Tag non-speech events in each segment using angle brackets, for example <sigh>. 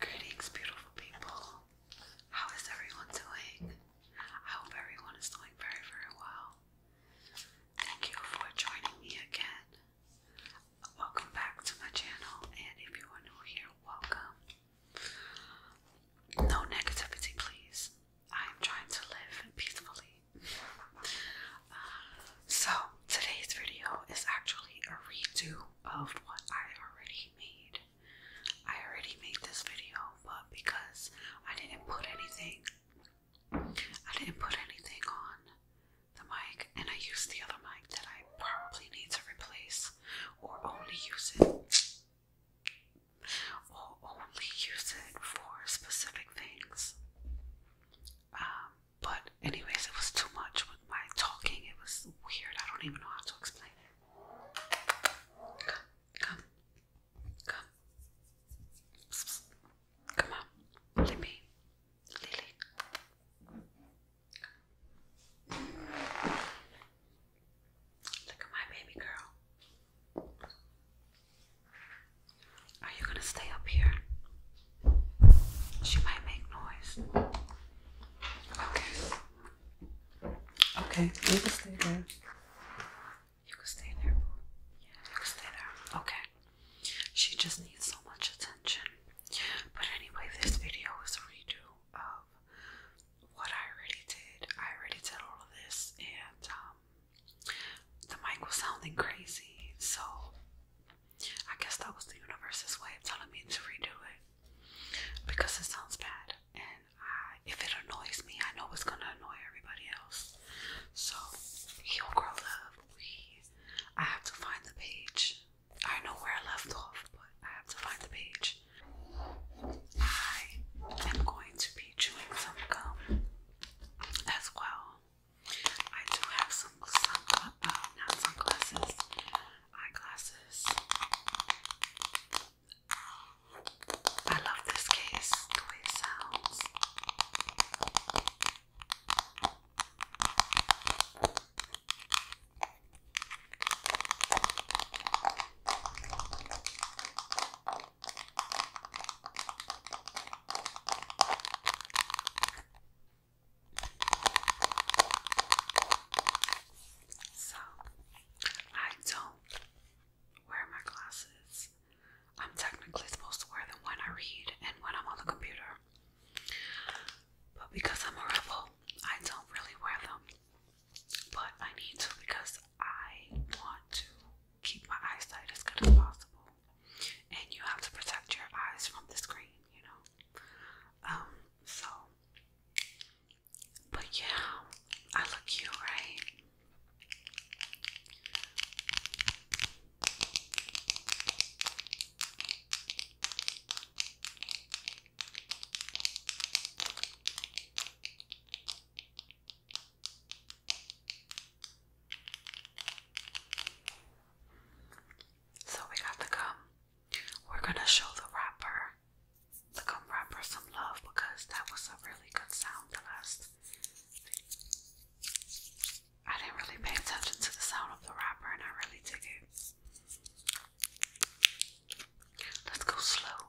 Greetings, beautiful people. How is everyone doing? I hope everyone is doing very, very well. Thank you for joining me again. Welcome back to my channel, and if you are new here, welcome. No negativity, please. I am trying to live peacefully. Uh, so, today's video is actually a redo of what I already made. I already made this video, but because I didn't put anything, I didn't put anything on the mic, and I used the other mic that I probably need to replace, or only use it, or only use it for specific things. Um, but anyways, it was too much with talking. It was weird. I don't even know how to explain it. Come, come, come. Come on, Libby, Lily. Look at my baby girl. Are you gonna stay up here? She might make noise. Okay. Okay, you can stay there. You can stay there. Yeah, you can stay there. Okay. She just needs so much attention. But anyway, this video is a redo of what I already did. I already did all of this, and um, the mic was sounding crazy. So I guess that was the universe's way of telling me to redo it because it sounds bad, and I, if it annoys me, I know it's gonna annoy everybody else. So, Heal Girl Love, we, I have to find the page. I know where I left off, but I have to find the page. I am going to be chewing some gum as well. I do have some, some uh, sunglasses eyeglasses. I love this case, the way it sounds. So, I don't wear my glasses. I'm technically supposed to wear them when I read and when I'm on the computer. But because I'm a rebel, I don't really wear them. But I need to because I want to keep my eyesight as good as possible. And you have to protect your eyes from the screen, you know? Um, so but yeah, I look cute, right? So we got to gum. We're gonna show the rapper, the gum some love because that was a really good sound. The last, I didn't really pay attention to the sound of the wrapper, and I really dig Let's go slow.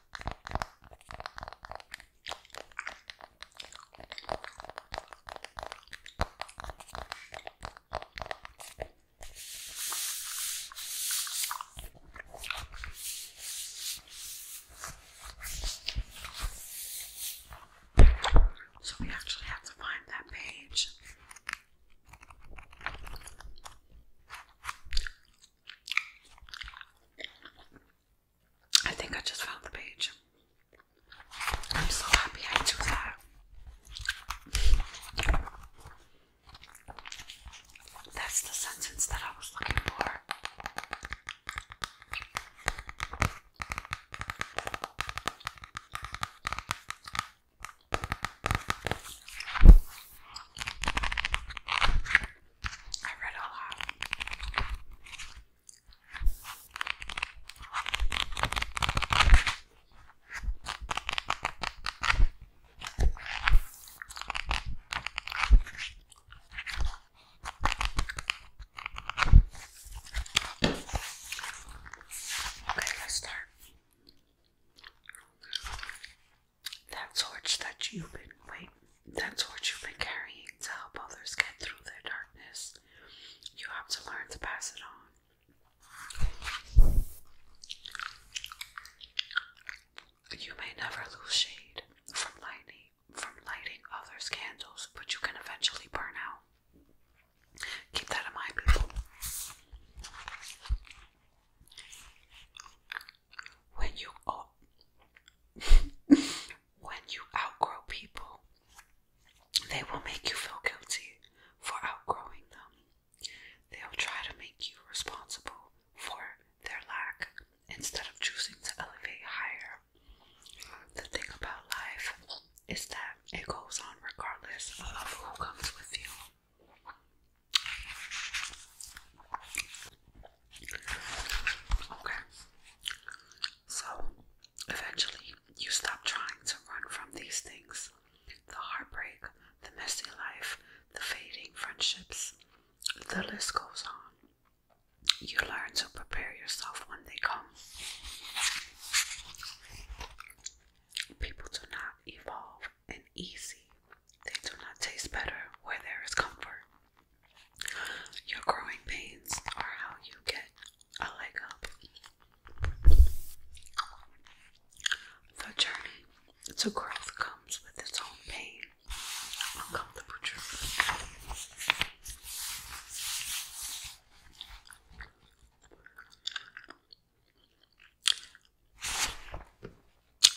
So we actually have to find that page. I think I just found the page. I'm so happy I do that. That's the sentence that I was looking for. I read a lot. Okay, let's start. That torch that you've been wait, that torch you've been carrying to help others get through their darkness. You have to learn to pass it on. You may never lose shade from lightning from lighting others' candles, but you can eventually burn out. Keep that in mind, people when you <laughs> when you outgrow people, they will make you feel guilty for outgrowing them. They'll try to make you responsible for their lack instead of choosing to elevate higher. The thing about life is that it goes on regardless of who comes with you. Okay. So eventually you stop trying to run from these things the heartbreak, the messy life, the fading friendships. The list goes on. You learn to prepare yourself when they come. People do not evolve in easy, they do not taste better where there is comfort. Your growing pains are how you get a leg up. The journey to growth comes with its own pain, uncomfortable truth.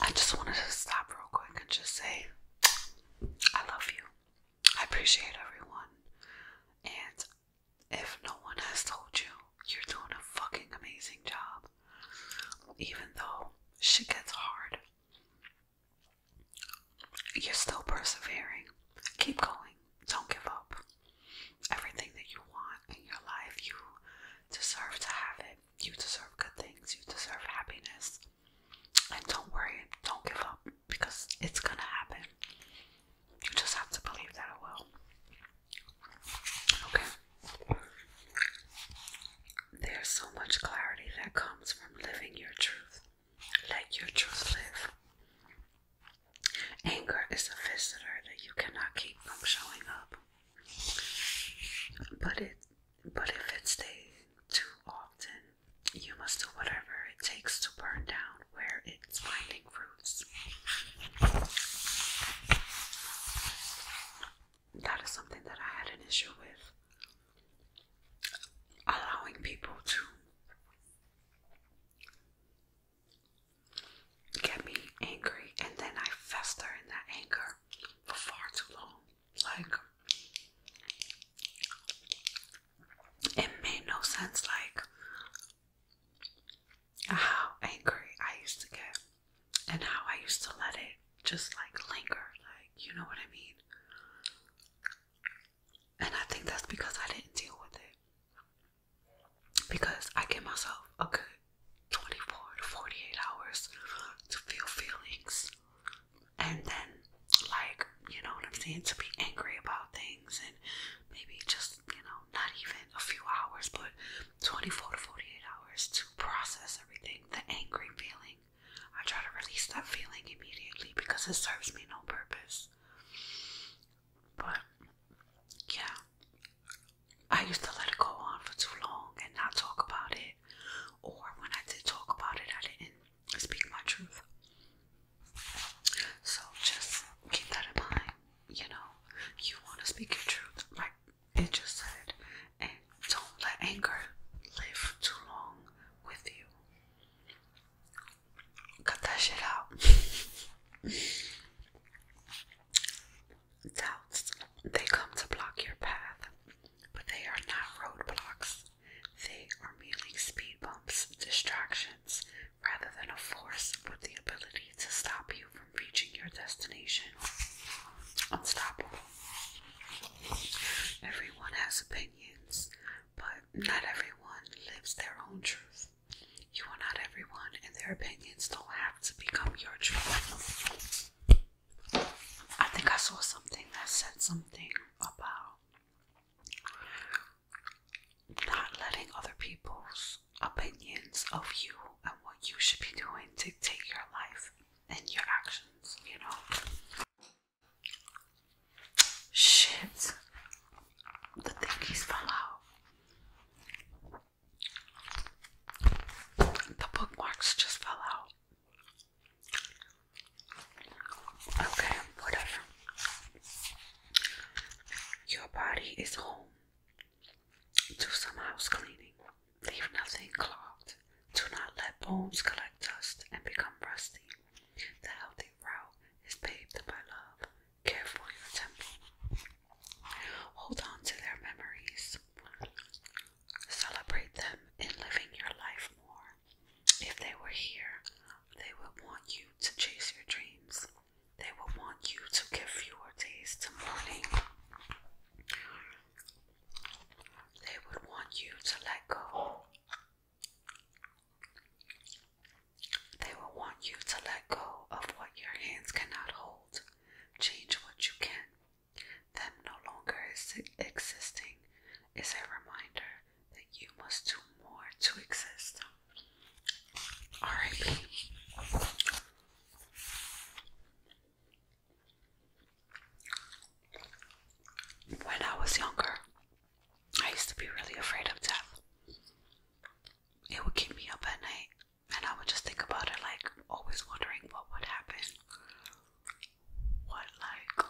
I just wanted to stop real quick and just say, I love you. I appreciate everyone. And if no one has told you, you're doing a fucking amazing job. Even though shit gets hard, you're still persevering. Keep going. Don't give up. Everything that you want in your life, you deserve to have it. You deserve good things. You deserve happiness. And don't worry, don't give up because it's gonna happen. You just have to believe that it will. Okay. There's so much clarity that comes from living your truth. Let your truth live. Anger is a visitor that you cannot keep from showing up. But it but if it's staying too often, you must do whatever it takes to burn down where it's finding roots. That is something that I had an issue with. Allowing people to get me angry, and then I fester in that anger for far too long. Like, it made no sense, like, how angry I used to get and how I used to let it just like linger, like, you know what I mean? And I think that's because I didn't deal with it. Because I give myself a good 24 to 48 hours to feel feelings and then like you know what I'm saying to be angry about things and maybe just you know not even a few hours but 24 to 48 hours to process everything the angry feeling I try to release that feeling immediately because it serves me no purpose but yeah I used to let it go on for too long and not talk about it or when I did talk about it, I didn't speak my truth. So just keep that in mind. You know, you want to speak your truth, like it said, and don't let anger live too long with you. Cut that shit out. <laughs> they come to block your path. But they are not roadblocks. They are merely speed bumps, distractions, rather than a force with the ability to stop you from reaching your destination. Unstoppable. Everyone has opinions, but not everyone lives their own truth. You are not everyone, and their opinions don't have to become your truth. I think I saw something that said something about not letting other people's opinions of you and what you should be doing dictate your life and your actions, you know? Shit. The thingies fell out. The bookmarks just fell out. Okay, whatever. Your body is home. Do some house cleaning. Leave nothing clogged. Do not let bones collect dust and become rusty. The healthy route is paved by love. Care for your temple. Hold on to their memories. Celebrate them in living your life more. If they were here, they would want you to chase your dreams. They would want you to give fewer days to mourning. They would want you to let go. They will want you to let go of what your hands cannot hold. Change what you can. Them no longer is existing is a reminder that you must do more to exist. R.I.P. When I was younger, I used to be really afraid of death. It would keep me up at night, and I would just think about it, like always wondering what would happen what like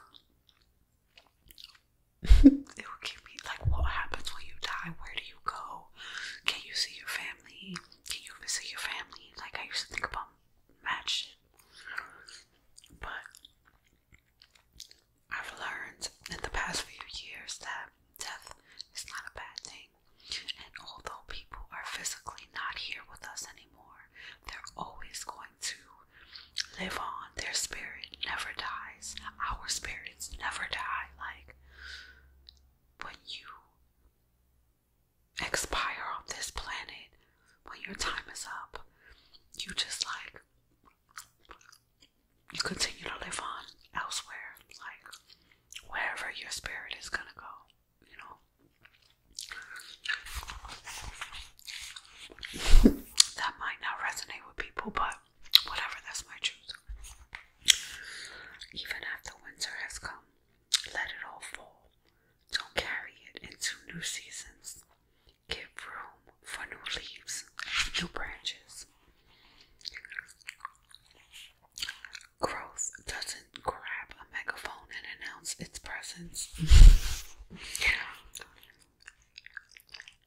<laughs> it will keep me like what happens when you die? Where do you go? Can you see your family? Can you visit your family? Like I used to think about mad But I've learned in the past few years that death is not a bad thing. And although people are physically not here with us anymore, they're always going to live on. Their spirit never dies. Our spirits never die. Like, when you expire on this planet, when your time is up, you just like, you continue to live on elsewhere. Like, wherever your spirit is gonna go you know, that might not resonate with people, but whatever, that's my truth. Even after winter has come, let it all fall. Don't carry it into new seasons. Give room for new leaves, new branches. Growth it doesn't grab a megaphone and announce its presence.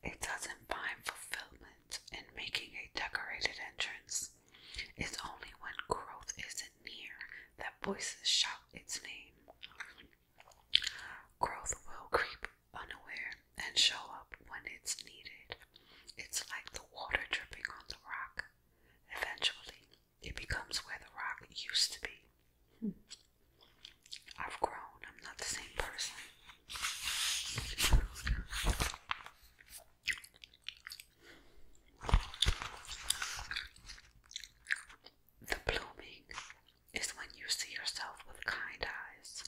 it doesn't find fulfillment in making a decorated entrance. It's only when growth isn't near that voices shout its name. Growth will creep unaware and show up when it's needed. It's like the water dripping on the rock. Eventually, it becomes where the rock used to be. I've grown. I'm not the same person. The blooming is when you see yourself with kind eyes.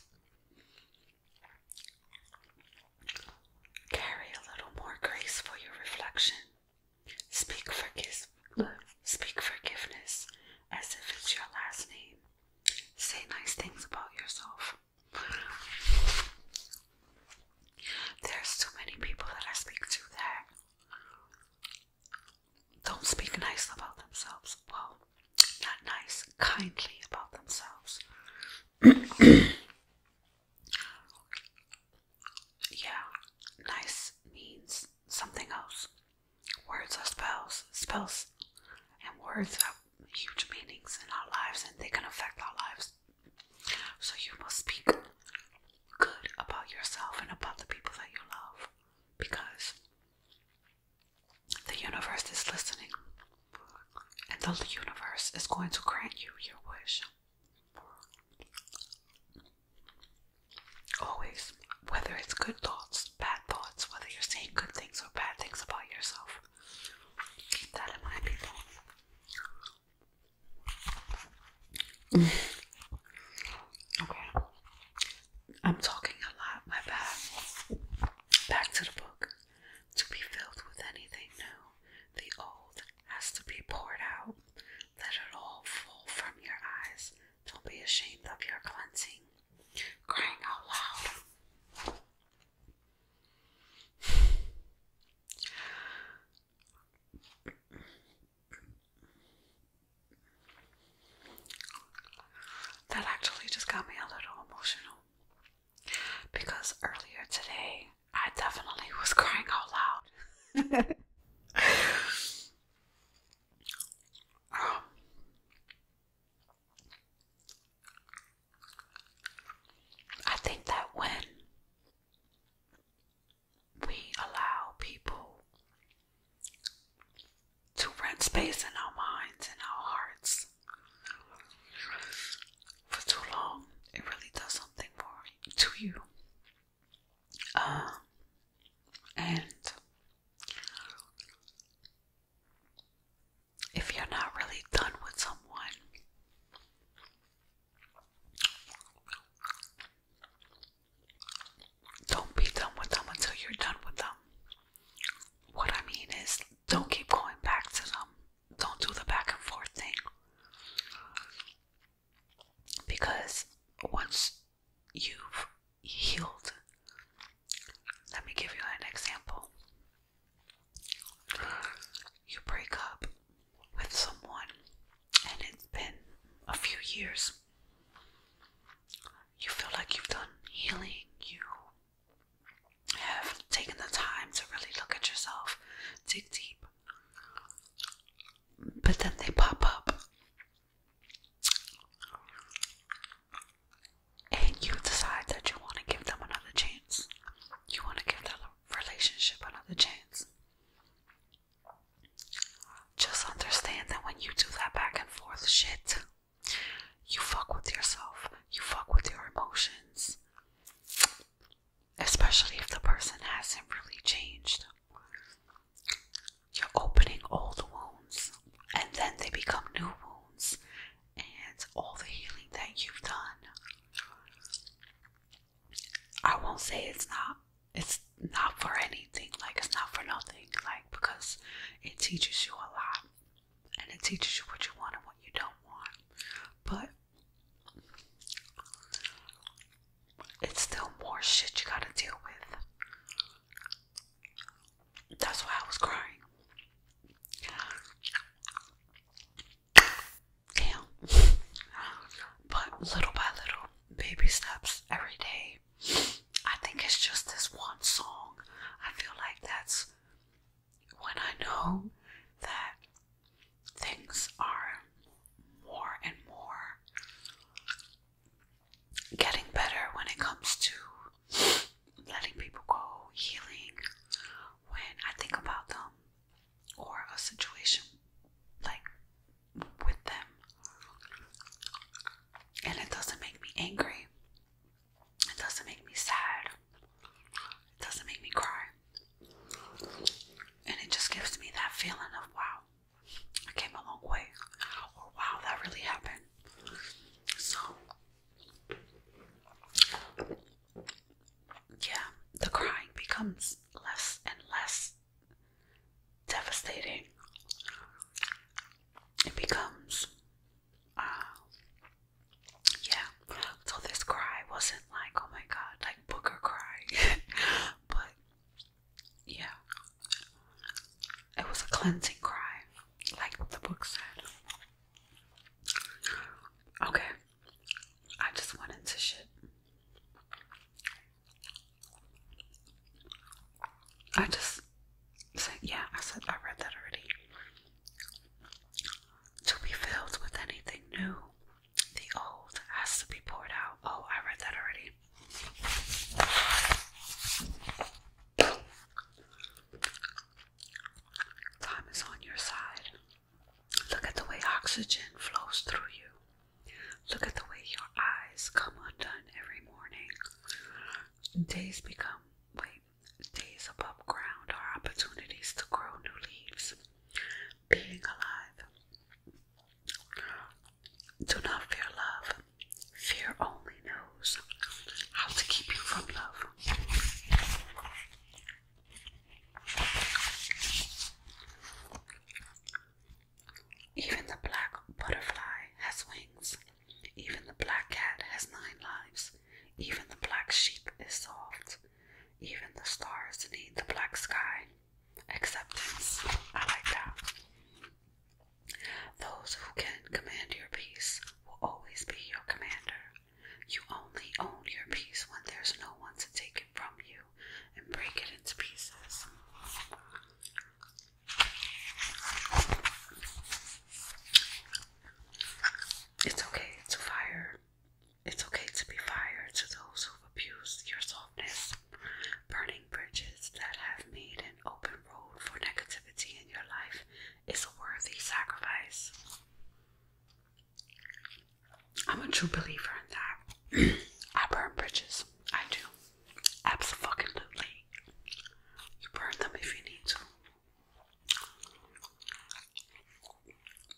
Carry a little more grace for your reflection. Speak, forgive, speak forgiveness as if it's your last name. Say nice things about yourself. There's too many people that I speak to that don't speak nice about themselves. Well, not nice, kindly about themselves. <clears throat> <clears throat> Yeah, nice means something else. Words are spells, spells, and words have huge meanings in our lives and they can affect our lives. So you must speak good about yourself and about the people that you love because the universe is listening and the universe is going to grant you your wish. Always, whether it's good thoughts, bad thoughts, whether you're saying good things or bad things about yourself, keep that people. okay, I'm talking a lot, my bad. Back to the book. To be filled with anything new, the old, has to be poured out. Let it all fall from your eyes. Don't be ashamed of your cleansing. Crying out loud. That actually just got me a little emotional because earlier today I definitely was crying out loud. <laughs> I think that when we allow people to rent space in our minds and our hearts for too long, it really does something for to you. Uh, and if you're not really done with someone, don't be done with them until you're done with them. What I mean is, don't keep going back to them. Don't do the back and forth thing. Because once you've healed, let me give you an example. You break up with someone, and it's been a few years. You feel like you've done healing, you have taken the time to really look at yourself, dig deep, but then they pop up. And you decide that you want to give them another chance. You want to give that relationship another chance. Just understand that when you do that back and forth shit, you fuck with yourself, you fuck with your emotions especially if the person hasn't really changed. You're opening old wounds, and then they become new wounds, and all the healing that you've done. I won't say it's not it's not for anything, like it's not for nothing, like because it teaches you a lot and it teaches you what you want and what you don't want. But it's still more shit you gotta deal with. That's why I was crying. Damn. But little by little, baby steps every day. I think it's just this one song. I feel like that's when I know that things are more and more getting better when it comes to letting people go, healing. When I think about them or a situation like with them, and it doesn't make me angry, it doesn't make me sad, it doesn't make me cry. And it just gives me that feeling of wow, I came a long way, or wow, that really happened. So, yeah, the crying becomes less and less devastating. It becomes, uh, yeah. So, this cry wasn't like, oh my god, like Booker cry, <laughs> but yeah, it was a cleansing cry, like the book said. Okay, I just went into shit. I just said, yeah, I said, I read that already. To be filled with anything new the old has to be poured out. Oh, I read that already. Time is on your side. Look at the way oxygen flows through you. Look at the way your eyes come undone every morning. Days become, wait, days above ground are opportunities to grow new leaves. Being alive do not fear love. Fear only knows how to keep you from love. Even the black butterfly has wings. Even the black cat has nine lives. Even the black sheep is soft. Even the stars need the black sky. Acceptance. I like that. Those who can command your peace will always be your commander. You only own your peace when there's no one to take it from you and break it into pieces. It's okay to fire it's okay to be fired to those who've abused your softness, burning bridges that have made an open road for negativity in your life is a worthy sacrifice. I'm a true believer in that. <clears throat> I burn bridges. I do. Absolutely. You burn them if you need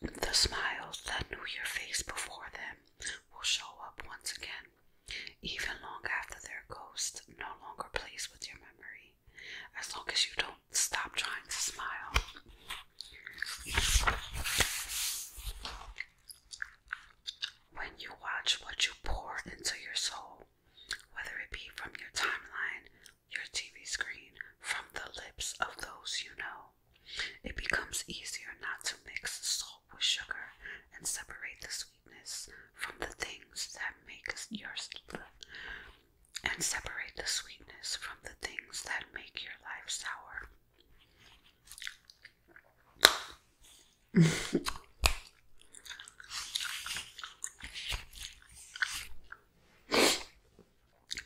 to. The smiles that knew your face before them will show up once again, even long after their ghost no longer plays with your memory, as long as you don't stop trying to smile. When you watch what you pour into your soul, whether it be from your timeline, your TV screen, from the lips of those you know, it becomes easier not to mix salt with sugar and separate the sweetness from the things that make your and separate the sweetness from the things that make your life sour. <laughs>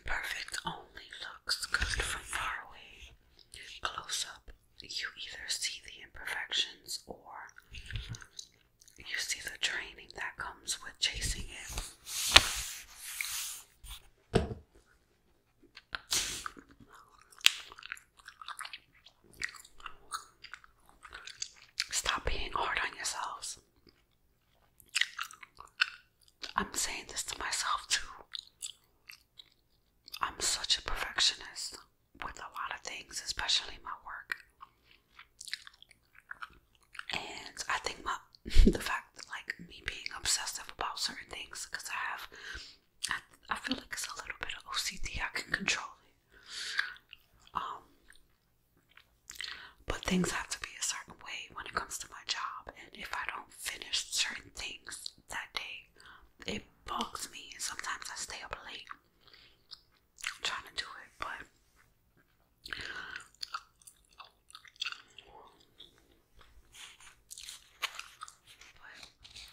Perfect only looks good from far away close up, you either see the imperfections or you see the training that comes with chasing it. Stop being hard on yourselves. I'm saying this to myself too. I'm such a perfectionist with a lot of things, especially my work. And I think my <laughs> the fact that like me being obsessive about certain things because I have I, I feel like it's a little bit of OCD. I can control it. Um but things have to be a certain way when it comes to my job and if I don't finish certain things that day. It bugs me, and sometimes I stay up late I'm trying to do it, but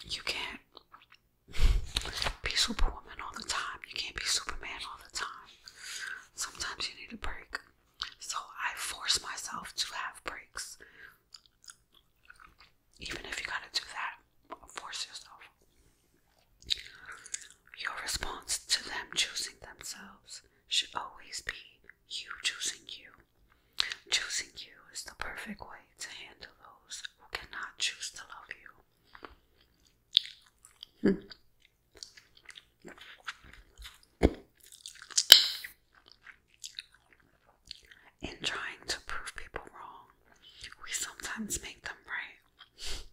you can't be Superwoman all the time. You can't be Superman all the time. Sometimes you need a break. So I force myself to have breaks. Even if you gotta do that, force yourself. Your response to them choosing themselves should always be you choosing you. Choosing you is the perfect way to handle those who cannot choose to love you. Hmm. In trying to prove people wrong, we sometimes make them right.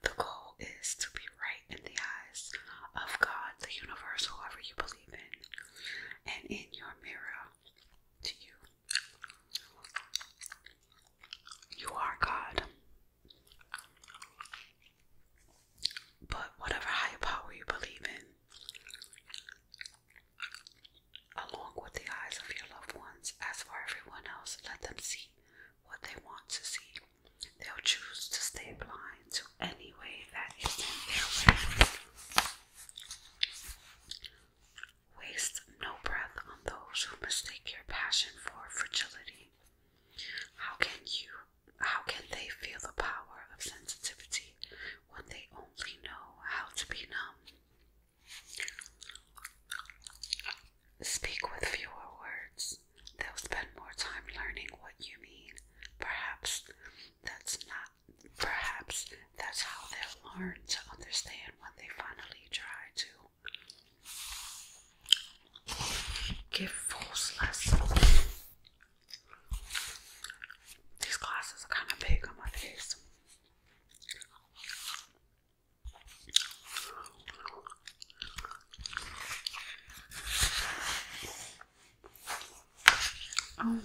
The goal is to be right in the eyes of God, the universe, whoever you believe in, and in your mirror to you. You are God. But whatever higher power you believe in, along with the eyes of your loved ones, as for everyone else, let them see what they want to see. They'll choose to stay blind to any way that isn't their way. Waste no breath on those who mistake your passion for fragility. How can you how can they feel the power of sensitivity when they only know how to be numb? Speak with fewer words. They'll spend more time learning what you mean. Perhaps that's not perhaps that's how they learn to understand when they finally try to. Give fools lessons. These glasses are kind of big on my face. Oh,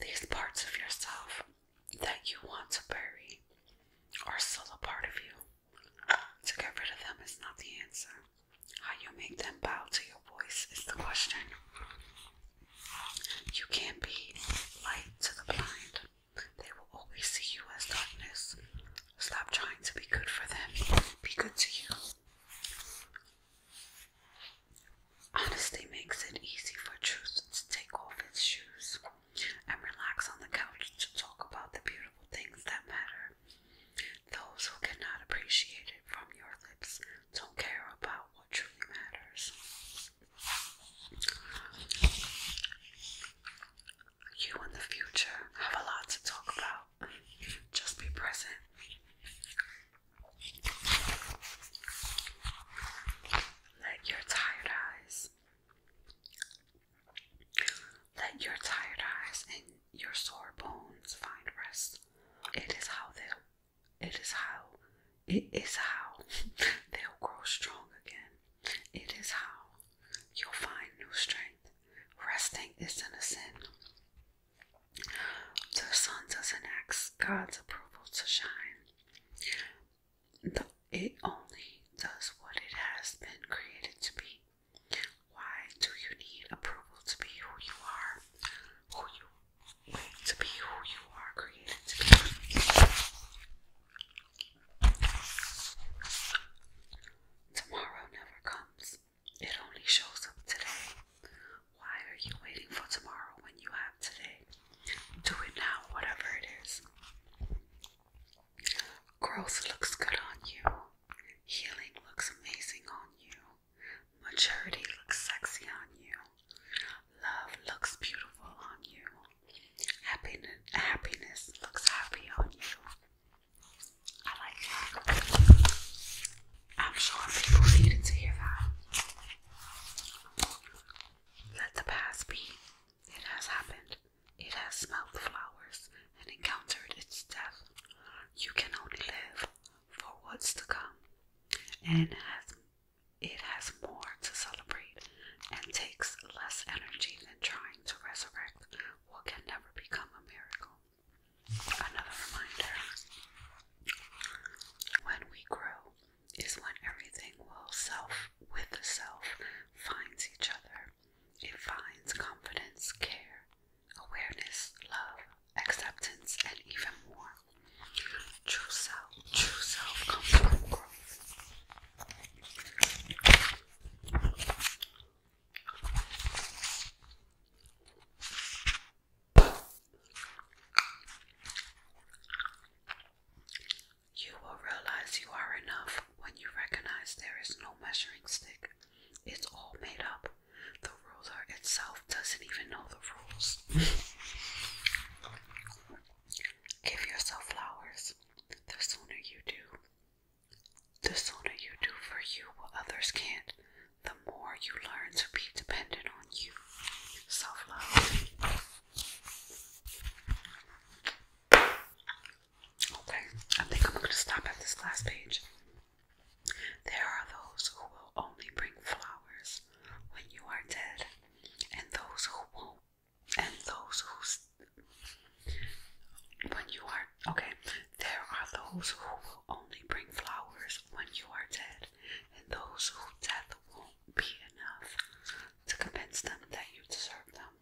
these parts of yourself that you want to bury are still a part of you. To get rid of them is not the answer. How you make them bow to your voice is the question. You can't be light to the blind. They will always see you as darkness. Stop trying to be good for them. Be good to you. Honesty makes it easy for truth to take off its shoes and relax on the couch to talk about the beautiful things that matter. Those who cannot appreciate it from your lips don't care about what truly matters. You in the future have a lot to talk about. Just be present. Let your tired eyes, let your tired eyes and your sore bones find rest. It is how they'll, it is how, it is how <laughs> they'll grow strong again. It is how you'll find new strength. Resting isn't a sin. The sun doesn't ask God's approval to shine. The, it only does what it has been created to be. Why do you need approval to be who you are? Who you to be who you are created to be. Tomorrow never comes. It only shows up today. Why are you waiting for tomorrow when you have today? Do it now, whatever it is. Growth looks good on you. Healing looks amazing on you. Maturity looks sexy on you. Love looks beautiful on you. Happiness, happiness looks happy on you. I like that. I'm sure people needed to hear that. Let the past be. It has happened. It has smelled the flowers and encountered its death. You can only live for what's to come. And it has, it has more to celebrate and takes less energy than trying to resurrect what can never become a miracle. Another reminder when we grow is when everything will self with self finds each other. It finds confidence, care, awareness, love, acceptance, and even more. True self, true self comes from growth. You will realize you are enough when you recognize there is no measuring stick. It's all made up. The ruler itself doesn't even know the rules. <laughs> Give yourself flowers. The sooner you do, the sooner you do for you what others can't, the more you learn to be dependent on you. Self love. Okay, I think I'm going to stop at this last page. There are those who will only bring flowers when you are dead, and those who won't, and those whose when you are okay, there are those who will only bring flowers when you are dead, and those who death won't be enough to convince them that you deserve them.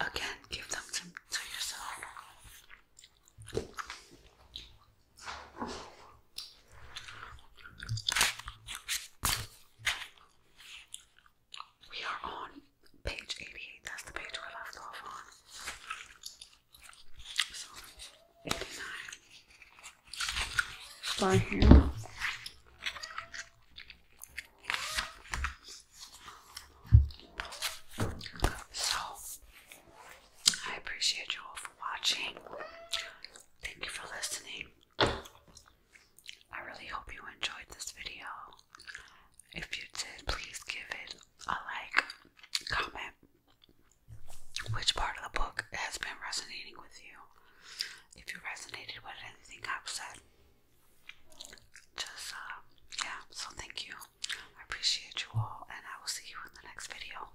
Again, give them to, to yourself. We are on page 88, that's the page we left off on. So, 89. So, I appreciate you all for watching. Thank you for listening. I really hope you enjoyed this video. If you did, please give it a like, comment. Which part of the book has been resonating with you? If you resonated with anything I've said, just uh, yeah. So thank you. I appreciate you all, and I will see you in the next video.